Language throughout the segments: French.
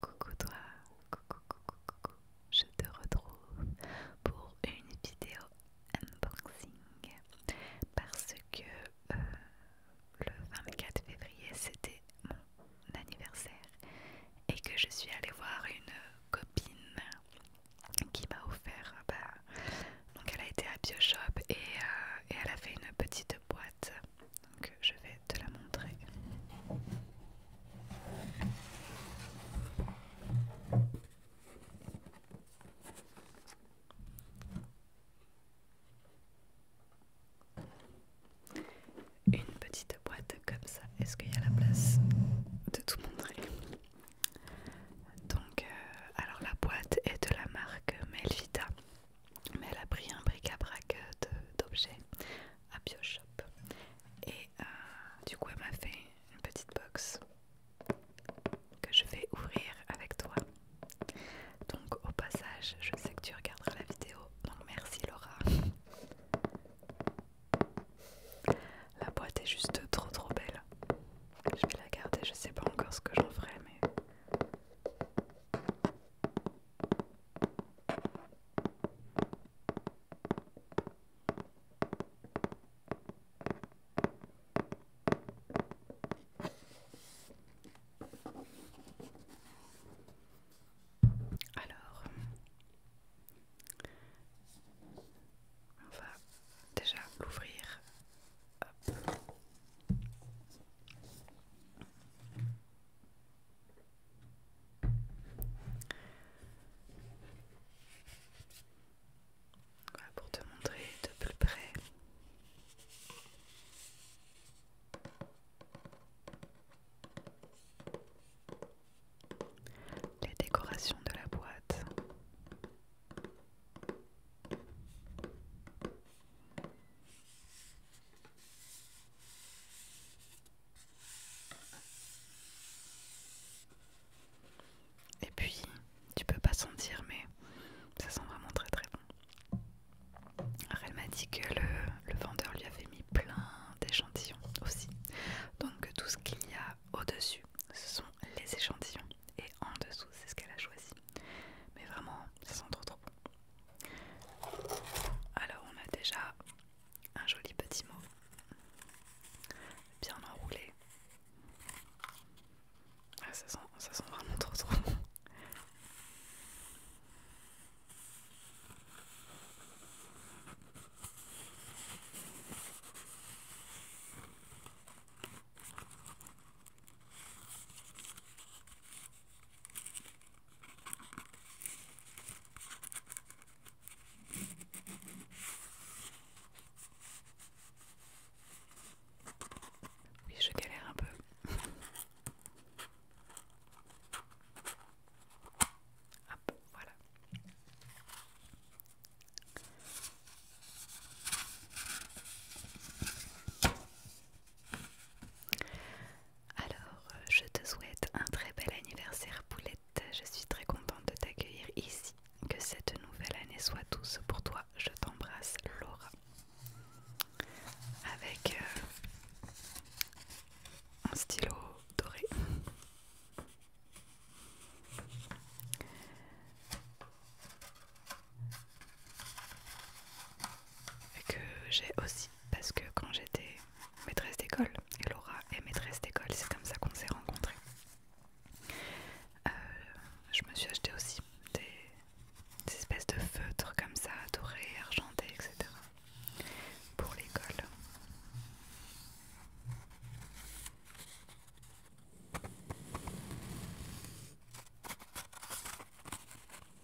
Coucou toi, coucou, coucou, coucou, je te retrouve pour une vidéo unboxing parce que euh, le 24 février c'était mon anniversaire et que je suis allée voir une copine qui m'a offert, bah, donc elle a été à Bioshop euh, et elle a fait une petite boîte donc je vais te la montrer. Une petite boîte comme ça. Est-ce qu'il y a la place de tout montrer Donc, euh, alors la boîte est de la marque Melvita, mais elle a pris un bric-à-brac euh, d'objets à Bioshop. Et euh, du coup, elle m'a fait une petite box que je vais ouvrir avec toi. Donc, au passage, je sais que tu regarderas la vidéo, donc merci Laura. La boîte est juste trop trop belle. Je vais la garder, je sais pas encore ce que j'en ferai, mais alors, on va déjà l'ouvrir pour te montrer de plus près. Les décorations de la boîte. Et puis, tu peux pas sentir, mais ça sent vraiment très très bon. Alors, elle m'a dit que le, vendeur lui avait mis plein d'échantillons aussi. Donc, tout ce qu'il y a au-dessus, ce sont les échantillons. Et en dessous, c'est ce qu'elle a choisi. Mais vraiment, ça sent trop trop bon. Alors, on a déjà un joli petit mot, bien enroulé. Ah, ça, sent, ça sent vraiment trop trop oui, je galère un peu. Hop, voilà. Alors, euh, je te souhaite un très bel anniversaire Poulette. Je suis très contente de t'accueillir ici. Que cette nouvelle année soit douce pour toi. Je t'embrasse, Laura. Avec euh, un stylo doré. Que j'ai aussi, parce que quand j'étais maîtresse d'école. Et Laura est maîtresse d'école, c'est comme ça qu'on s'est rencontrés. Euh, je me suis acheté aussi des, des espèces de feutres comme ça, dorés, argentés, etc. pour l'école.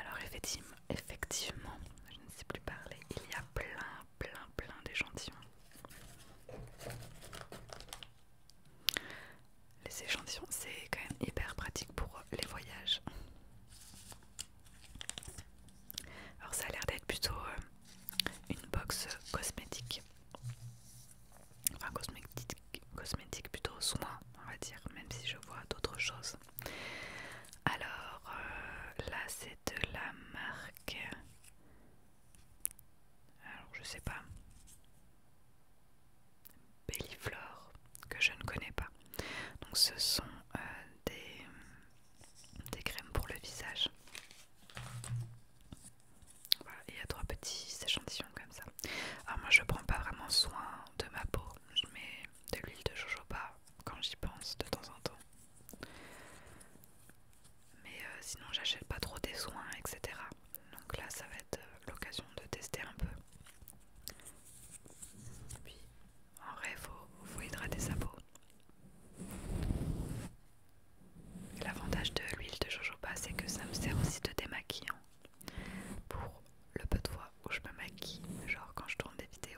Alors effectivement, effectivement, je ne sais plus parler, il y a plein, plein, plein d'échantillons. Les échantillons, c'est quand même hyper pratique pour les voyages. Alors ça a l'air d'être plutôt euh, une box euh, cosmétique enfin cosmétique, plutôt soin on va dire, même si je vois d'autres choses. Alors euh, là c'est de la marque, alors je sais pas, Belliflore que je ne connais pas. Donc ce sont euh, des crèmes pour le visage. Voilà, il y a trois petits échantillons comme ça. Alors moi je prends pas vraiment soin de ma peau, mais de l'huile de jojoba quand j'y pense de temps en temps. Mais euh, sinon j'achète pas trop des soins, etc. Donc là ça va être euh, l'occasion de tester un peu. Puis en vrai vous faut hydrater sa peau. L'avantage de l'huile de jojoba, c'est que ça me sert aussi de démaquillant pour le peu de fois où je me maquille, genre quand je tourne des vidéos.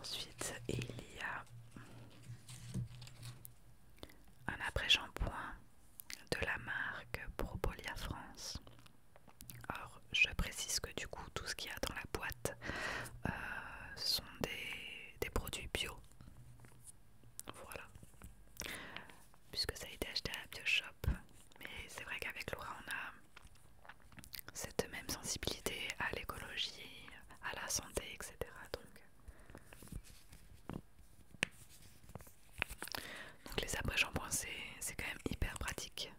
Ensuite, il y a un après-shampoing de la marque Propolia France. Or, je précise que du coup, tout ce qu'il y a dans la boîte euh, sont des des produits bio. Voilà. Puisque ça a été acheté à la Bioshop. Mais c'est vrai qu'avec Laura, on a cette même sensibilité à l'écologie, à la santé, etc. Donc, donc les après c'est c'est quand même hyper pratique.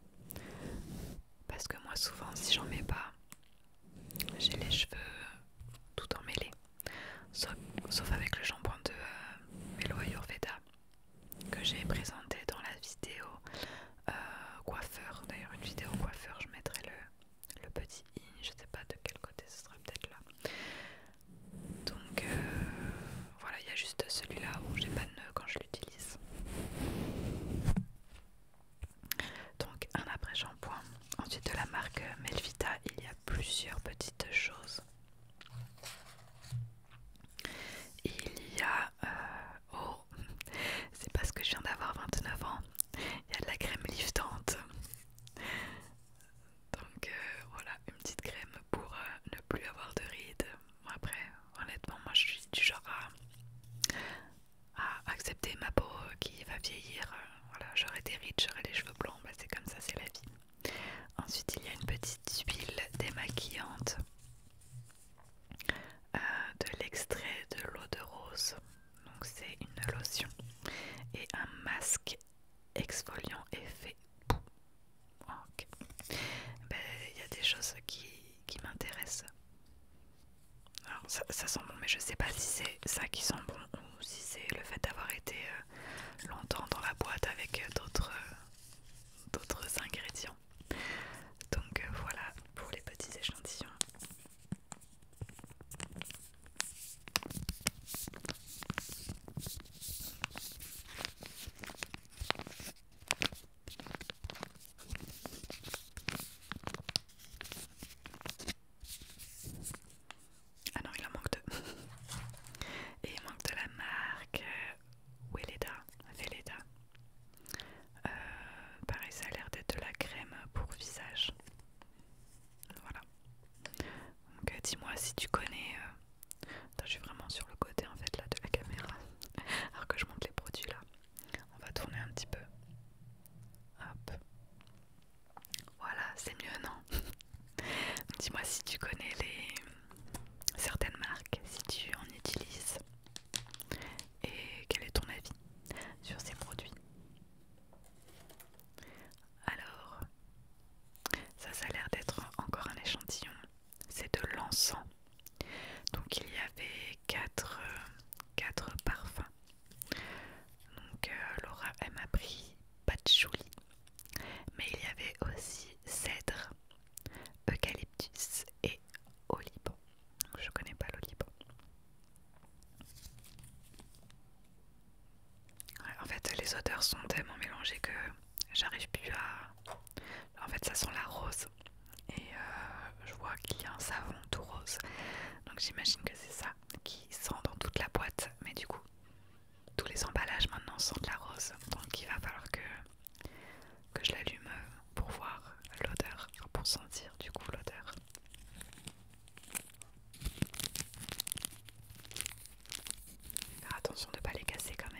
Parce que moi, souvent, si j'en mets pas, j'ai les cheveux tout emmêlés, sauf, avec le jambon de Melo euh, Ayurveda que j'ai présenté dans la vidéo euh, coiffeur. D'ailleurs, une vidéo coiffeur, je mettrai le, petit i, je sais pas de quel côté ce sera, peut-être là. Donc euh, voilà, il y a juste celui-là où j'ai pas de nœud quand je l'utilise. Donc un après shampoing. Ensuite de la marque Melvita, il y a plusieurs petites choses. Il y a... Euh, oh, c'est parce que je viens d'avoir 29 ans. Il y a de la crème liftante. Donc euh, voilà, une petite crème pour euh, ne plus avoir de rides. Après, honnêtement, moi je suis du genre à à accepter ma peau qui va vieillir. Euh, voilà, j'aurai des rides, j'aurai les cheveux blancs, bah, c'est comme ça, c'est la vie. Ensuite, il y a une petite huile démaquillante euh, de l'extrait de l'eau de rose. Donc c'est une lotion et un masque exfoliant effet. Ok. Ben, il y a des choses qui m'intéressent. Alors ça, sent bon mais je sais pas si c'est ça qui sent bon ou si c'est le fait d'avoir été euh, longtemps dans la boîte avec euh, euh, d'autres ingrédients. Donc voilà pour les petits échantillons. Ah non, il en manque deux. Et il manque de la marque euh, Weleda. Euh, pareil, ça a l'air d'être de la crème pour visage. Voilà. Donc euh, dis-moi si tu connais... Attends, je suis vraiment sur le côté en fait là de la caméra. Alors que je montre les produits là. On va tourner un petit peu. Hop. Voilà, c'est mieux, non Dis-moi si tu connais les certaines marques, si tu en utilises et quel est ton avis sur ces produits. Alors, ça, ça a l'air d'être encore un échantillon. C'est de l'encens. Donc il y avait 4 euh, quatre parfums. Donc euh, Laura, elle m'a pris patchouli, mais il y avait aussi cèdre, eucalyptus et oliban. Je connais pas l'oliban. en fait, les odeurs sont tellement mélangées que j'arrive plus à. En fait, ça sent la rose et euh, je vois qu'il y a un savon tout rose. Donc j'imagine que c'est ça qui sent dans toute la boîte. Mais du coup, tous les emballages maintenant sentent la rose. Donc il va falloir que, que je l'allume pour voir l'odeur, pour sentir du coup l'odeur. Faire attention de ne pas les casser quand même.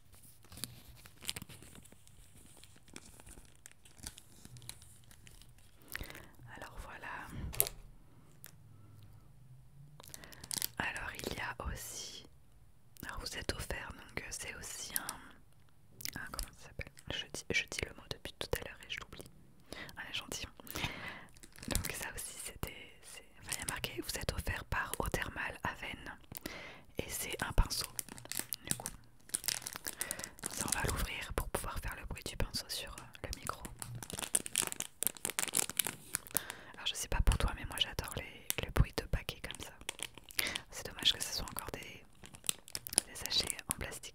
Alors voilà. Alors il y a aussi. Alors vous êtes offert, donc euh, c'est aussi un. comment ça s'appelle je dis, le mot depuis tout à l'heure et je l'oublie. Un ah, gentil Donc ça aussi c'était. Enfin, il y a marqué vous êtes offert par Eau Thermale Aven et c'est un pinceau. Du coup, ça on va l'ouvrir pour pouvoir faire le bruit du pinceau sur euh, le micro. Alors je sais pas pour toi, mais moi j'adore le bruit de paquets comme ça. C'est dommage que ce soit encore des sachets en plastique.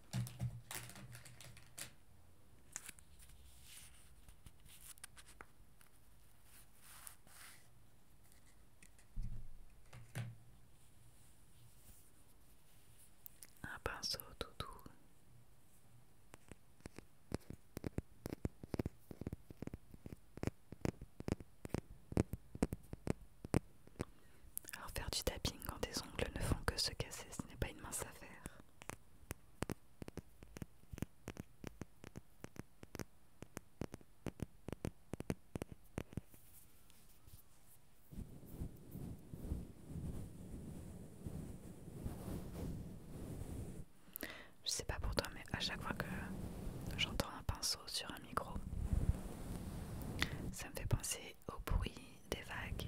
Un pinceau tout doux. Alors faire du tapping quand tes ongles ne font que se casser, ce n'est pas une mince affaire. Je sais pas pour toi, mais à chaque fois que j'entends un pinceau sur un micro, ça me fait penser au bruit des vagues.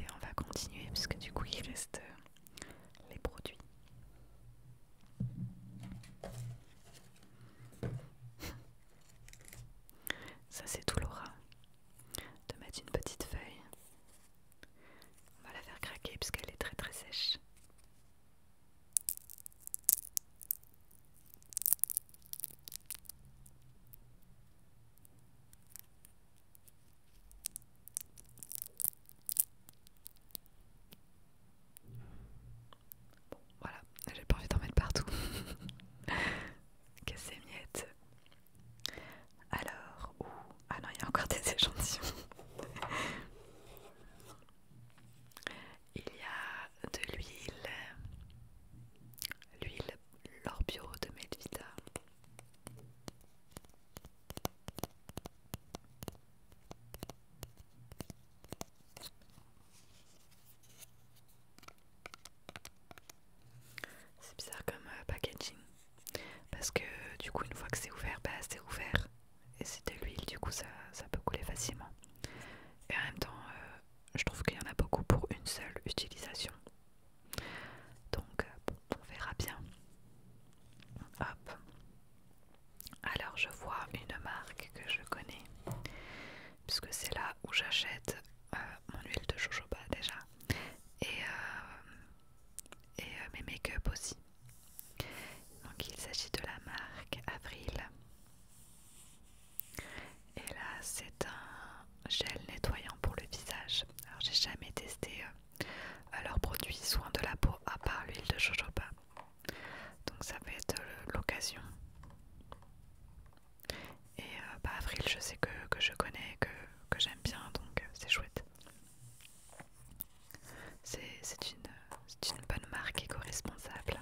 Et on va continuer parce que du coup il reste euh, les produits. Ça c'est tout l'aura de mettre une petite feuille. On va la faire craquer parce qu'elle est très très sèche voilà, j'ai pas envie d'en mettre partout. que c'est miettes. Alors, ouh, ah non, il y a encore des échantillons. Il y a de l'huile, l'huile L'Orbio de Medvita. C'est bizarre comme euh, packaging parce que du coup une fois que c'est ouvert, bah c'est ouvert et c'est de l'huile du coup ça, peut couler facilement. Et en même temps, euh, je trouve qu'il y en a beaucoup pour une seule utilisation. Donc, euh, on verra bien. Hop. Alors, je vois une marque que je connais, puisque c'est là où j'achète euh, mon huile de jojoba déjà, et, euh, mes make-up aussi. Donc, il s'agit de la marque Avril et là, c'est un gel nettoyant pour le visage. Alors, j'ai jamais testé euh, leurs produits soins de la peau à part l'huile de jojoba. Donc, ça va être euh, l'occasion. Et euh, bah, Avril, je sais que, je connais, que, que j'aime bien, donc c'est chouette. C'est une, une bonne marque éco-responsable.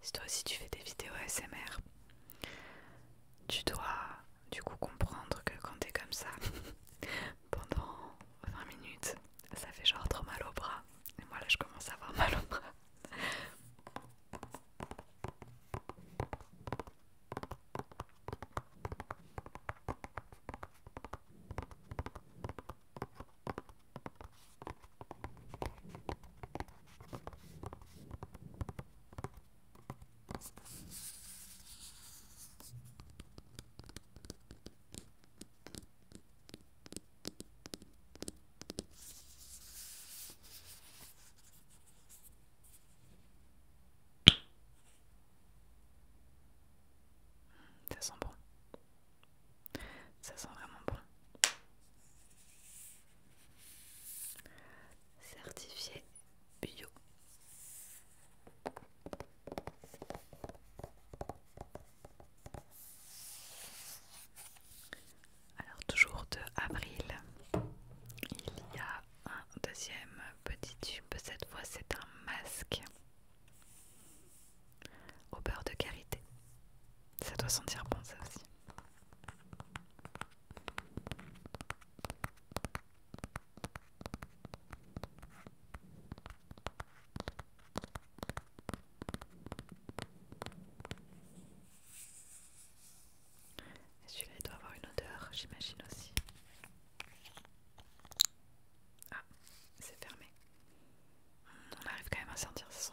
Si toi aussi tu fais des vidéos ASMR, tu dois du coup comprendre que quand t'es comme ça pendant 20 minutes, ça fait genre trop mal au bras. Et moi là, je commence à avoir mal aux bras. Ça sent bon. Ça sent vraiment bon certifié bio. Alors toujours de avril, il y a un deuxième petit tube, cette fois c'est un masque au beurre de karité. Ça doit sentir bon ça aussi. Celui-là doit avoir une odeur, j'imagine aussi. Ah, c'est fermé. On arrive quand même à sentir ce son.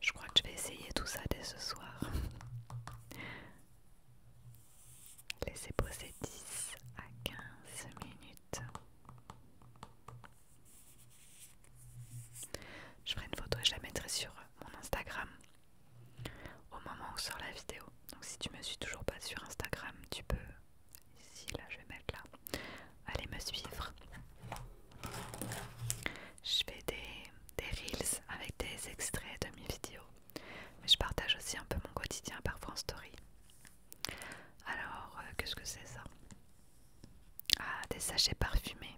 Je crois que je vais essayer tout ça dès ce soir. Laissez poser 10 à 15 minutes. Je ferai une photo et je la mettrai sur mon Instagram au moment où sort la vidéo. Donc si tu me suis toujours pas sur Instagram, tu peux ici là, je vais mettre là. Allez me suivre. Je fais des, des reels avec des extraits de mes vidéos. Mais je partage aussi un peu mon quotidien par France Story. Alors, euh, qu'est-ce que c'est ça Ah, des sachets parfumés,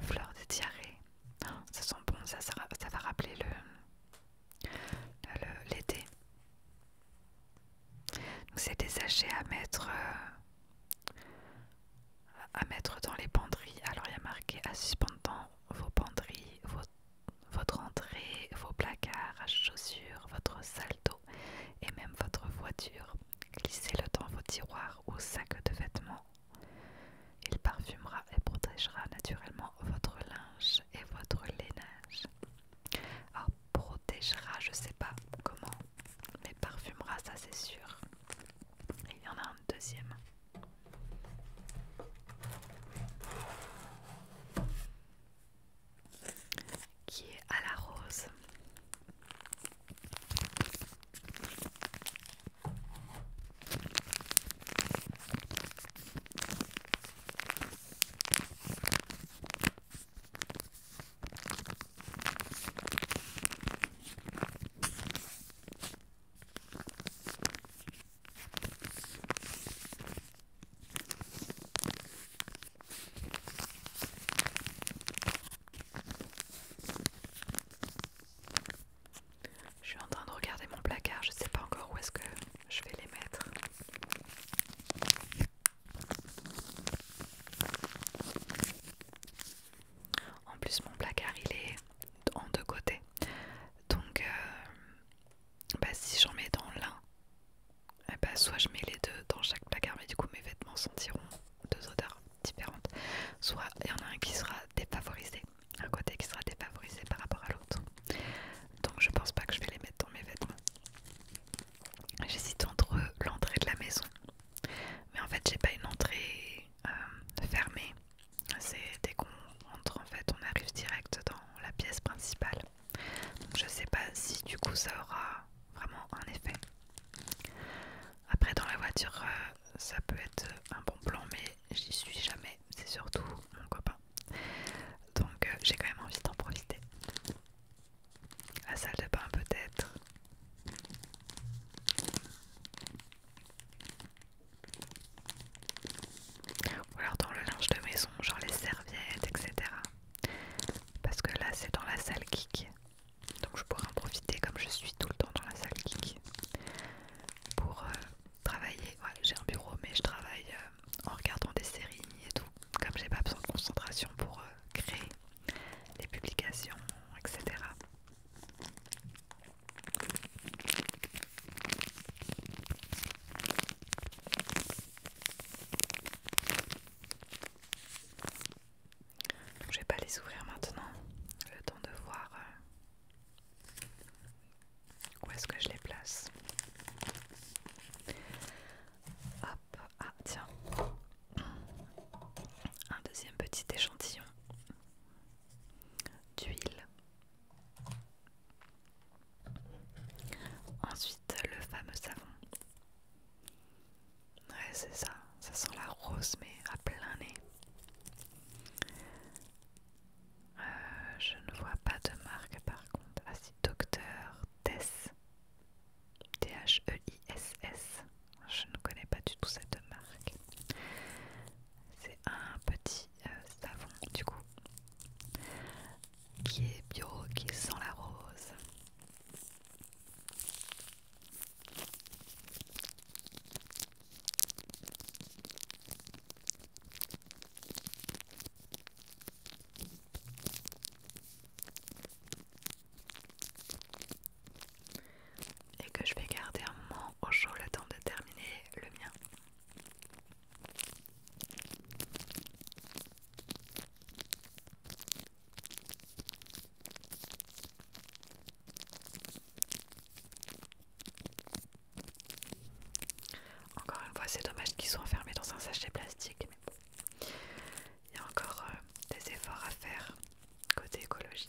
fleurs de diarrhée. ça sent bon, ça, va rappeler l'été. Donc c'est des sachets à mettre euh, à mettre dans les penderies. Alors il y a marqué à suspendre dans vos penderies, vos votre entrée, vos placards à chaussures, votre salle et même votre voiture. Glissez-le dans vos tiroirs ou sacs de vêtements. Il parfumera et protégera naturellement votre linge et votre lainage. Ah, protégera, je sais pas comment, mais parfumera, ça c'est sûr. Il y en a un deuxième qui est à la rose. Je suis en train de regarder mon placard, je sais pas encore où est-ce que je vais les mettre. En plus mon placard il est en deux côtés. Donc euh, bah, si j'en mets dans l'un, eh ben, soit je mets les deux dans chaque placard, mais du coup mes vêtements sentiront deux odeurs différentes. Soit il y en a un qui sera défavorisé, un côté qui sera défavorisé par rapport à l'autre. Donc je pense pas que je vais les mettre dans mes vêtements. J'hésite entre l'entrée de la maison, mais en fait j'ai pas une entrée euh, fermée. C'est dès qu'on entre en fait on arrive direct dans la pièce principale. Je je sais pas si du coup ça aura vraiment un effet. Après dans la voiture euh, ça peut être un bon plan mais j'y suis jamais, c'est surtout mon copain. Donc euh, j'ai quand même envie d'en profiter. La salle de bain peut-être. Ou alors dans le linge de maison, genre les serviettes, etc. Parce que là, c'est dans la salle kick Donc je pourrais en profiter comme je suis tout le temps dans la salle kick Pour euh, travailler. j'ai un bureau, mais je travaille euh, en regardant des séries et tout. Comme j'ai pas besoin de concentration pour euh, créer les publications, etc. Donc, je vais pas les ouvrir maintenant, le temps de voir euh, où est-ce que je les place. Hop, ah tiens, un deuxième petit échantillon d'huile Ensuite, le fameux savon. Ouais, c'est ça. Ça sent la rose, mais à plein nez. Euh, je ne vois pas de marque par contre. Ah c'est Docteur Tess. T-H-E-I-S-S. Je ne connais pas du tout cette marque. C'est un petit euh, savon, du coup qui est bio, qui sent la rose. Et que je vais garder un moment au chaud le temps de terminer le mien. Encore une fois, c'est dommage qu'ils soient enfermés dans un sachet plastique, mais il y a encore euh, des efforts à faire côté écologie.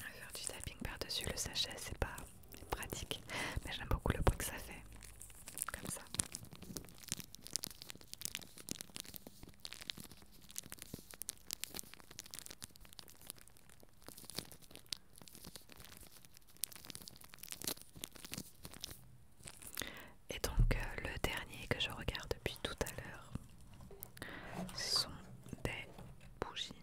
Faire du tapping par-dessus le sachet, c'est pas pratique, mais j'aime beaucoup le bruit que ça fait, comme ça. Et donc euh, le dernier que je regarde depuis tout à l'heure sont des bougies.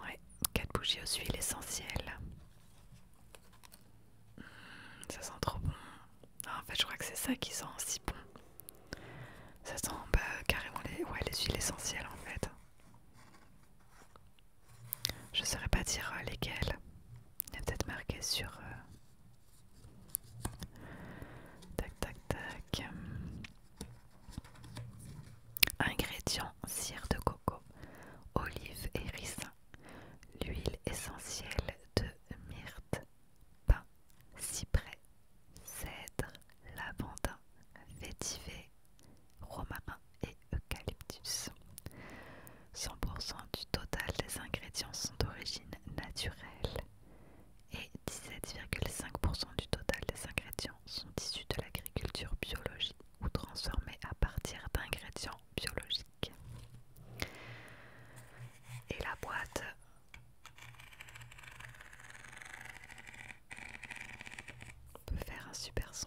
Ouais, quatre bougies aux huiles essentielles. Ça sent trop bon. en fait, je crois que c'est ça qui sent si bon. Ça sent bah, carrément les, les huiles essentielles en fait. Je ne saurais pas dire euh, lesquelles. Il est peut-être marqué sur. Euh, tac tac tac. Ingrédients cire de coco, olive et ricin l'huile essentielle de myrte, pain, cyprès, cèdre, lavandin, vétiver, romarin et eucalyptus. 100% du total des ingrédients sont d'origine naturelle et 17,5% du total des ingrédients sont issus de l'agriculture biologique ou transformés à partir d'ingrédients biologiques. Et la boîte peut faire un super son.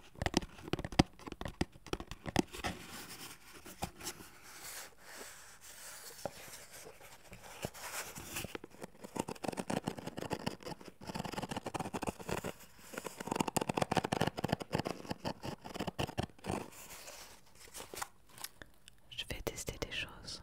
Je vais tester des choses.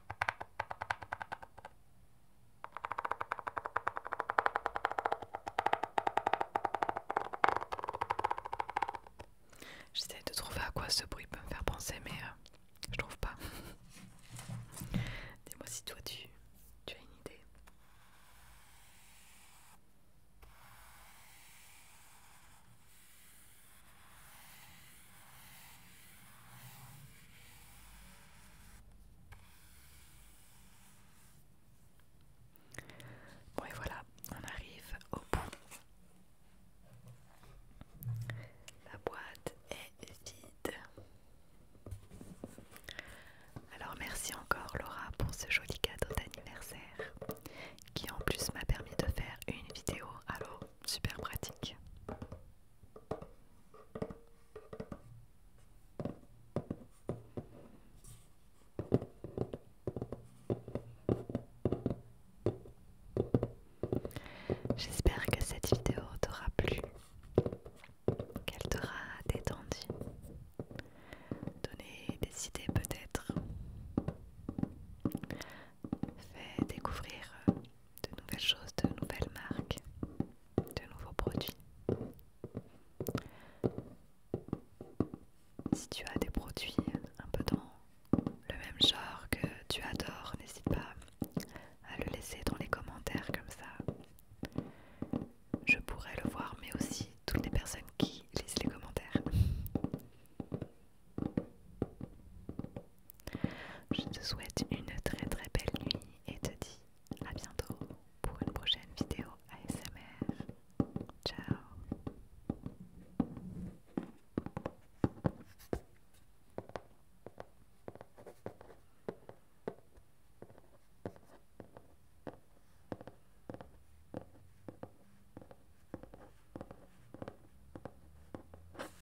J'essaie de trouver à quoi ce bruit peut me faire penser, mais euh, je trouve pas. Dis-moi si toi tu as une idée. Bon et voilà, on arrive au bout. La boîte est vide. Alors merci encore Laura pour ce joli cadeau d'anniversaire qui en plus m'a permis de faire une vidéo. Alors super pratique. J'espère que cette vidéo t'aura plu, qu'elle t'aura détendu, donné des idées peut-être, fait découvrir de nouvelles choses, de nouvelles marques, de nouveaux produits. Si tu as des produits un peu dans le même genre que tu adores, n'hésite pas à le laisser dans les commentaires comme ça. Je pourrais le voir, mais aussi toutes les personnes qui lisent les commentaires. Je te souhaite une très très belle nuit et te dis à bientôt pour une prochaine vidéo ASMR. Ciao